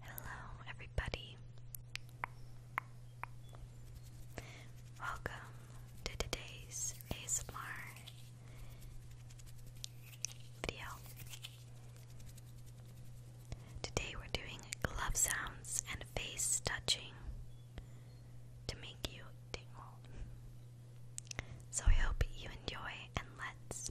Hello, everybody. Welcome to today's ASMR video. Today, we're doing glove sounds and face touching to make you tingle. So, I hope you enjoy, and let's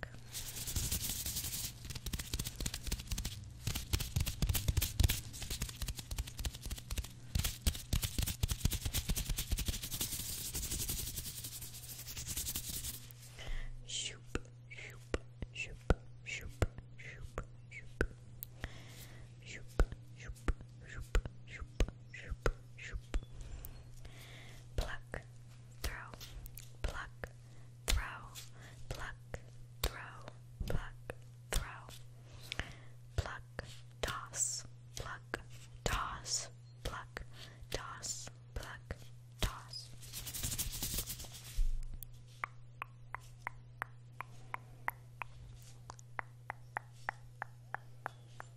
back. Shoop, shoop, shoop, shoop, shoop, shoop. Shoop, shoop, shoop, shoop, shoop, shoop. Pluck, throw, pluck, throw, pluck, throw, pluck, throw, pluck, toss, pluck, toss, pluck, toss, pluck, toss.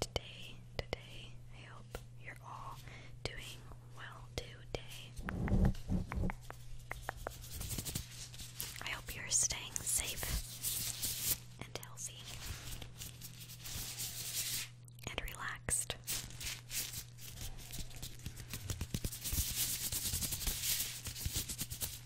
Today, today, I hope you're all doing well today. I hope you're staying safe and healthy and relaxed.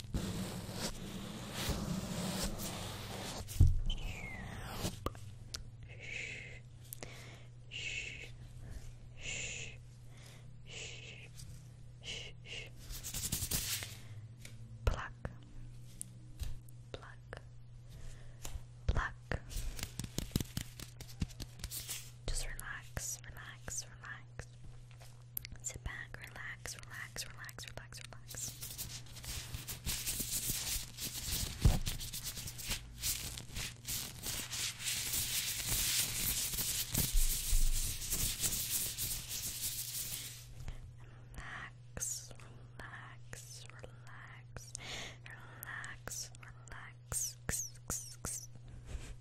Shh. Shh. Shh. Shh. Shh. relax, relax. Sit back, relax, relax, relax, relax, relax. Relax, relax, relax, relax, relax.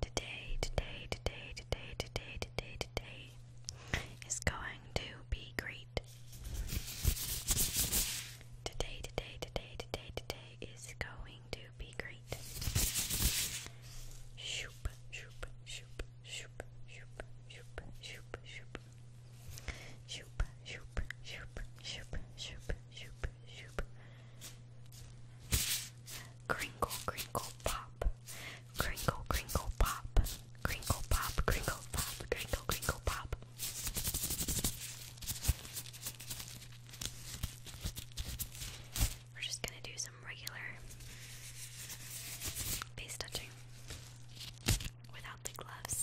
Today, today, today, today, today, today, today is going to be great. Today, today, today, today, today is going to be great. Shoop, shoop, shoop, shoop, shoop, shoop, shoop, shoop. Shoop, shoop, shoop, shoop, shoop, Crinkle, crinkle, pop. Crinkle, crinkle, pop. Crinkle, pop, crinkle, pop, crinkle, crinkle, pop. We're just gonna do some regular face touching without the gloves.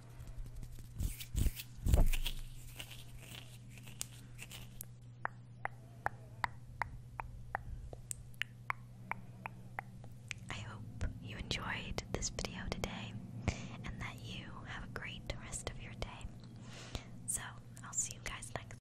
I hope you enjoyed this video today and that you have a great rest of your day. So, I'll see you guys next time.